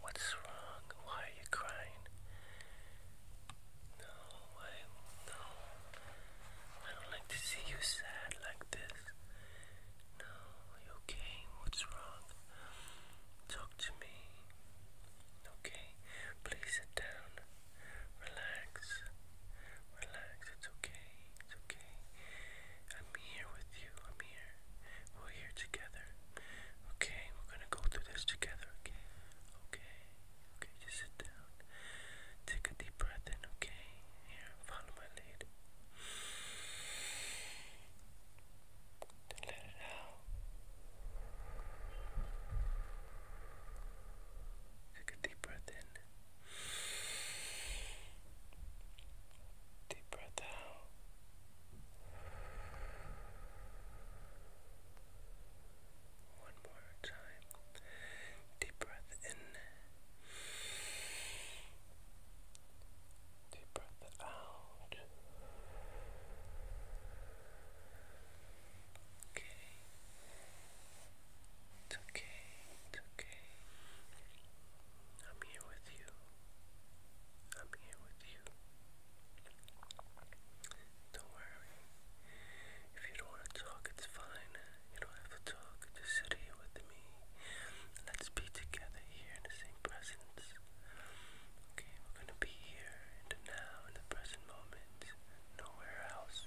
What's wrong? Why are you crying? No, I no. I don't like to see you sad like this. No, you okay? What's wrong? Talk to me. Okay, please sit down. Relax. Relax. It's okay. It's okay. I'm here with you. I'm here. We're here together. Okay, we're gonna go through this together, okay? Okay. Okay, just sit down. Take a deep breath in, okay? Here, follow my lead. let it out. Take a deep breath in. Deep breath out. One more time. Deep breath in. Deep breath out okay. It's okay. It's okay. I'm here with you. I'm here with you. Don't worry. If you don't want to talk, it's fine. You don't have to talk. Just sit here with me. Let's be together here in the same presence. Okay, we're gonna be here in now, in the present moment nowhere else.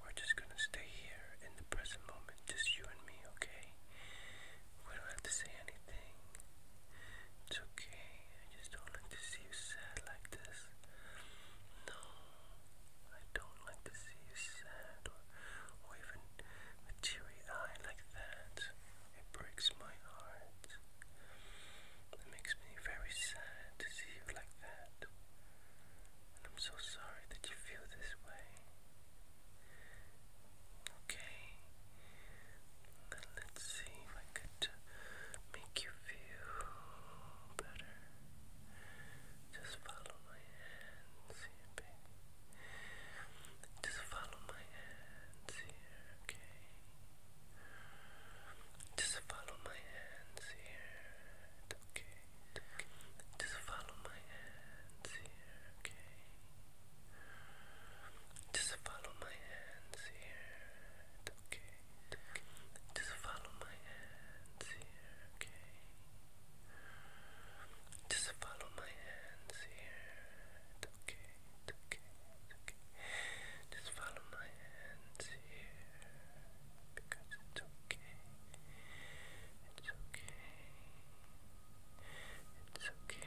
We're just gonna stay here in the present moment, just you and me, okay? We don't have to say anything. It's okay. I just don't like to see you sad like this. No, I don't like to see you sad or, or even a teary eye like that. It breaks my heart. It makes me very sad to see you like that. I'm so sorry that you feel this way. Okay. Then let's see if I could uh, make you feel better. Just follow my hands here, baby. Just follow my hands here, okay? Just follow my hands here. Okay. okay. Just follow my hands here. Okay. Just follow my hands here. Okay. okay. Just follow my Okay. Just follow my hands here. Okay. Okay. Okay. Just follow my hands here because it's okay. It's okay. It's okay.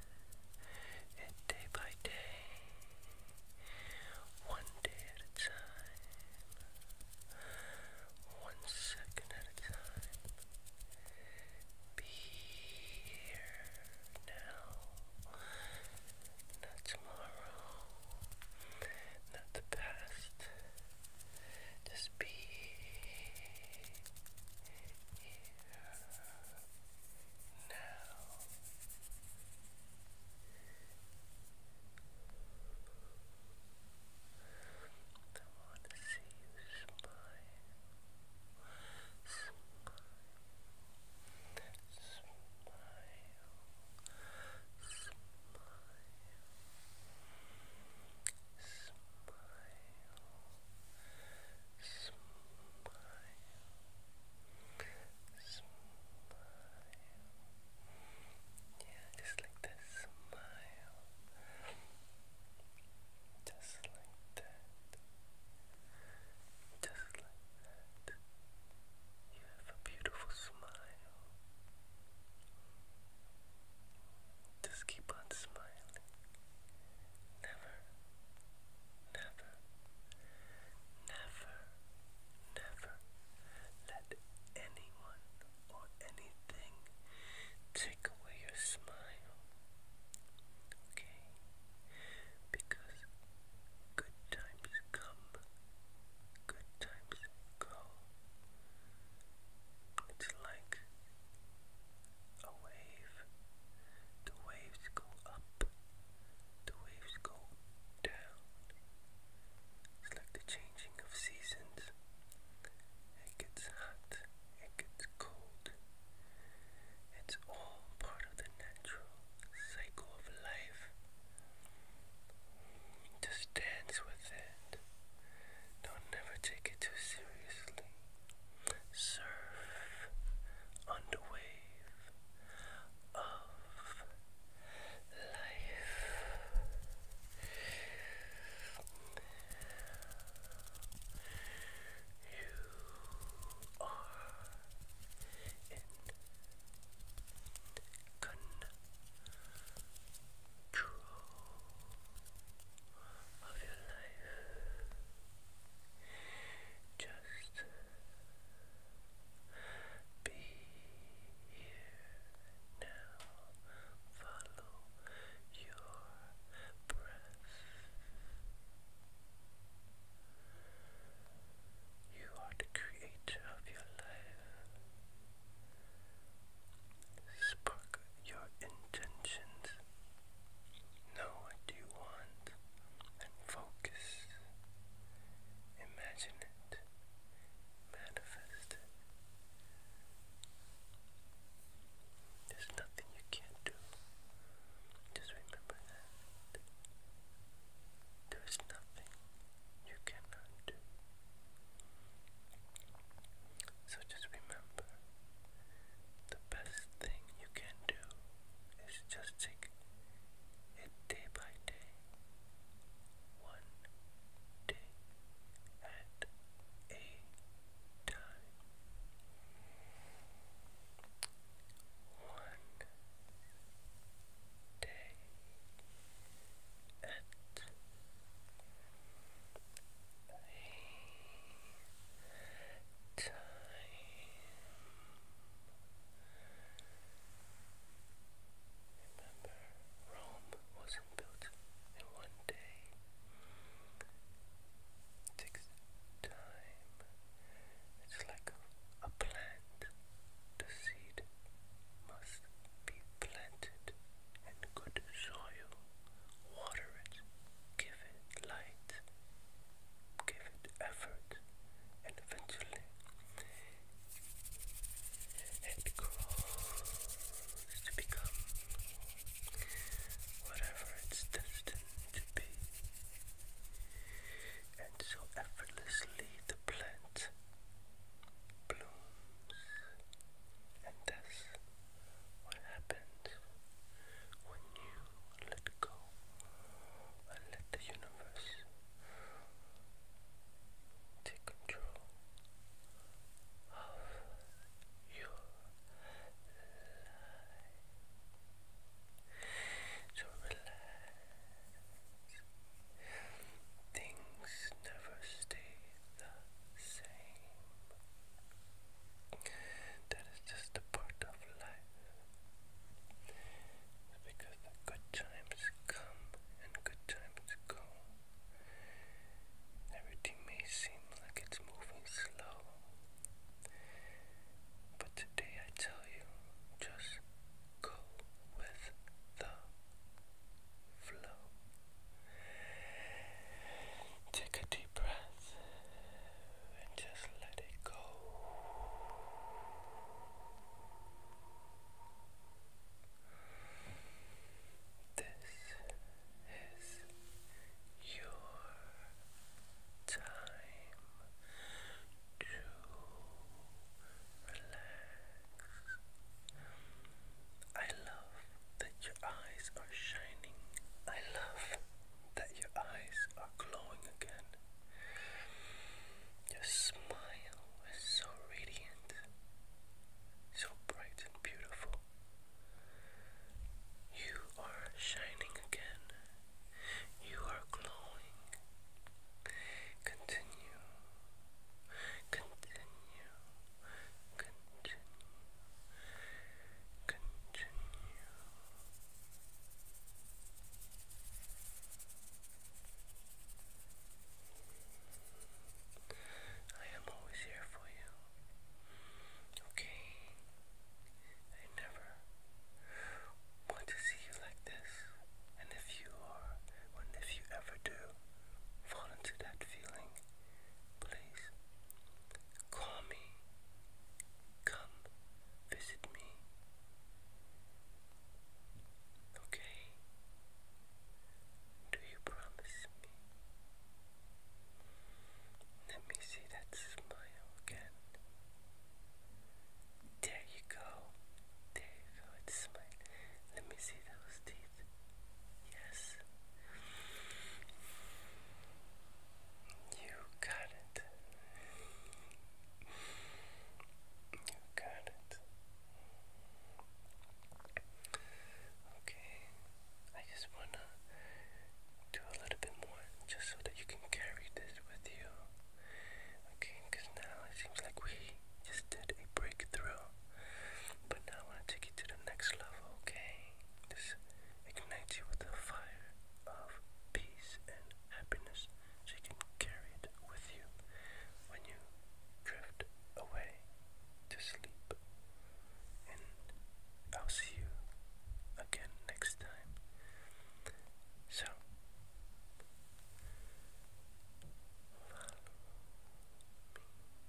and day by day, one day at a time, one second at a time, be here now, not tomorrow, not the past, just be here now. I want to see you Smile. Smile. Smile. Smile smile. Yeah, just like that, smile. Just like that. Just like that. You have a beautiful smile. Just keep on smiling never, never, never, never let anyone or anything take away your smile. Okay? Because good times come, good times go. It's like a wave. The waves go up. The waves go down. It's like the changing of seasons. It gets hot. It gets cold. It's all part of the natural cycle of life. Just dance with it. Don't never take it too seriously surf under of life. You are in control of your life. Just be here now. Follow your breath. You are the creator of your life. Spark your intentions Know what you want and focus. Imagine it. Manifest it. There's nothing you can't do. Just remember that. There is nothing you cannot do. So just remember the best thing you can do is just take it day by day, one day at a time. One day at time remember Rome wasn't built in one day it takes time it's like a plant the seed must be planted in good soil water it, give it light, give it effort, and eventually it grows to become whatever it's destined to be. And so effortlessly the plant blooms and thus what happens when you let go and let the universe take control of your life? So relax. Things never stay the same. That is just a part of life. Because the good times come and good times go. Everything may seem like it's moving slow. But today I tell you, just go with the flow. Take a deep breath and just let it go. This is your time to relax. I love that your eyes are shining. I love that your eyes are glowing again. Your smile is so radiant, so bright and beautiful. You are shining again. You are glowing. Continue. Continue continue, continue. I am always here for you. Okay? I never want to see you like this. And if you are, and if you ever do fall into that feeling, please call me, come visit me. Okay, do you promise me? Let me see that smile again. There you go, there you go, it's smiling. Let me see those teeth. Yes. You got it. You got it. Okay. I just wanna do a little bit more just so that you can carry this with you. Okay, because now it seems like we just did a breakthrough. But now I want to take you to the next level, okay? This ignites you with a fire of peace and happiness so you can carry it with you when you drift away to sleep. And I'll see you again next time. So,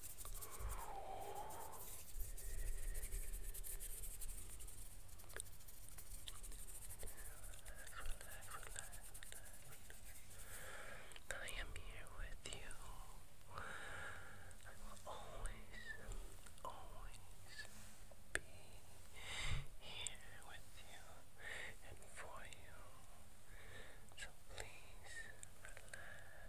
I am here with you. I will always, always be here with you and for you. So please relax.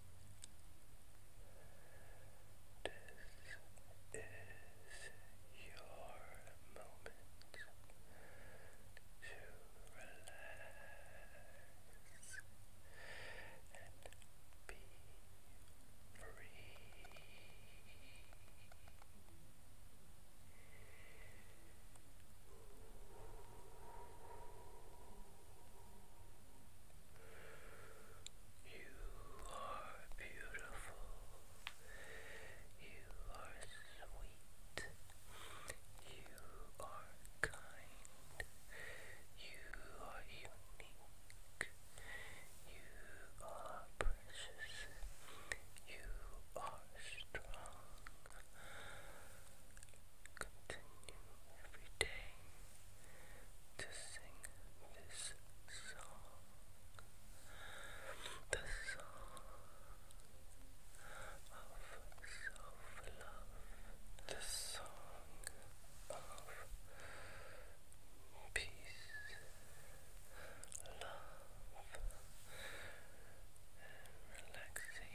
This is your moment to relax and be free. You are beautiful. You are sweet. You are kind. You are unique. You are precious. You are strong continue every day to sing this song. The song of self-love. The song of peace, love, and relaxation.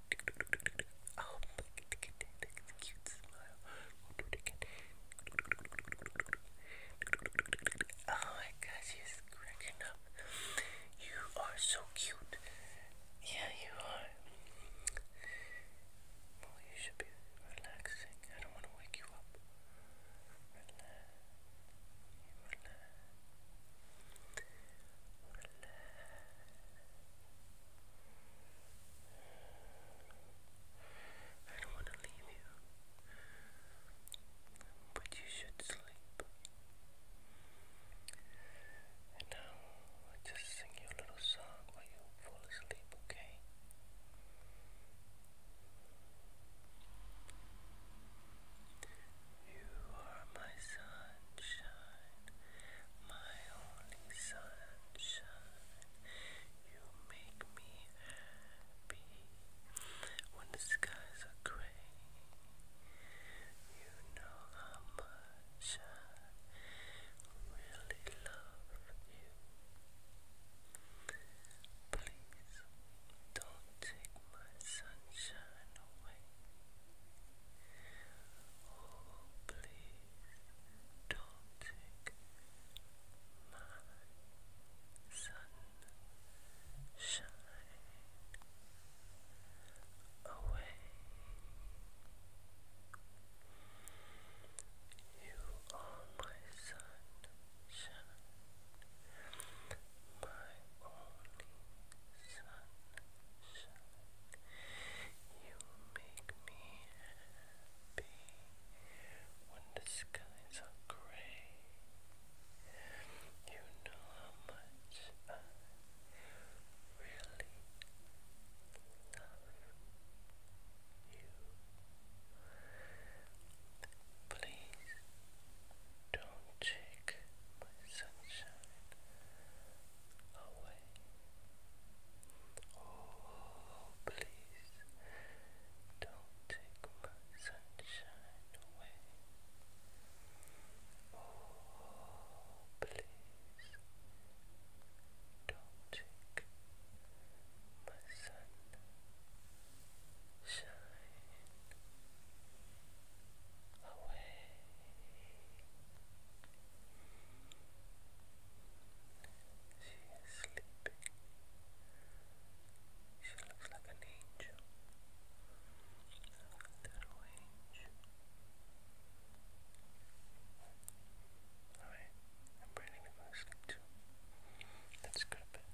Oh my god, she's cracking up. You are so cute. Yeah, you are. Well, you should be relaxing. I don't want to wake you up. Relax. I don't want to leave you, but you should sleep. And now I'll just sing you a little song while you fall asleep, okay? You are my sunshine, my only sunshine. You make me happy when the skies are gray. You know how much I really love you. Please don't take my sunshine away. Oh, please don't take my sunshine away. You are my sunshine my only sunshine. You make me happy when the skies are gray. You know how much I really love you. Please don't you take my sunshine away. Oh, please don't take my sunshine away. Oh, please don't take my sunshine away. She is sleeping. She looks like an angel, a little angel. Alright, I'm pretty with my sleep too. Let's go to bed.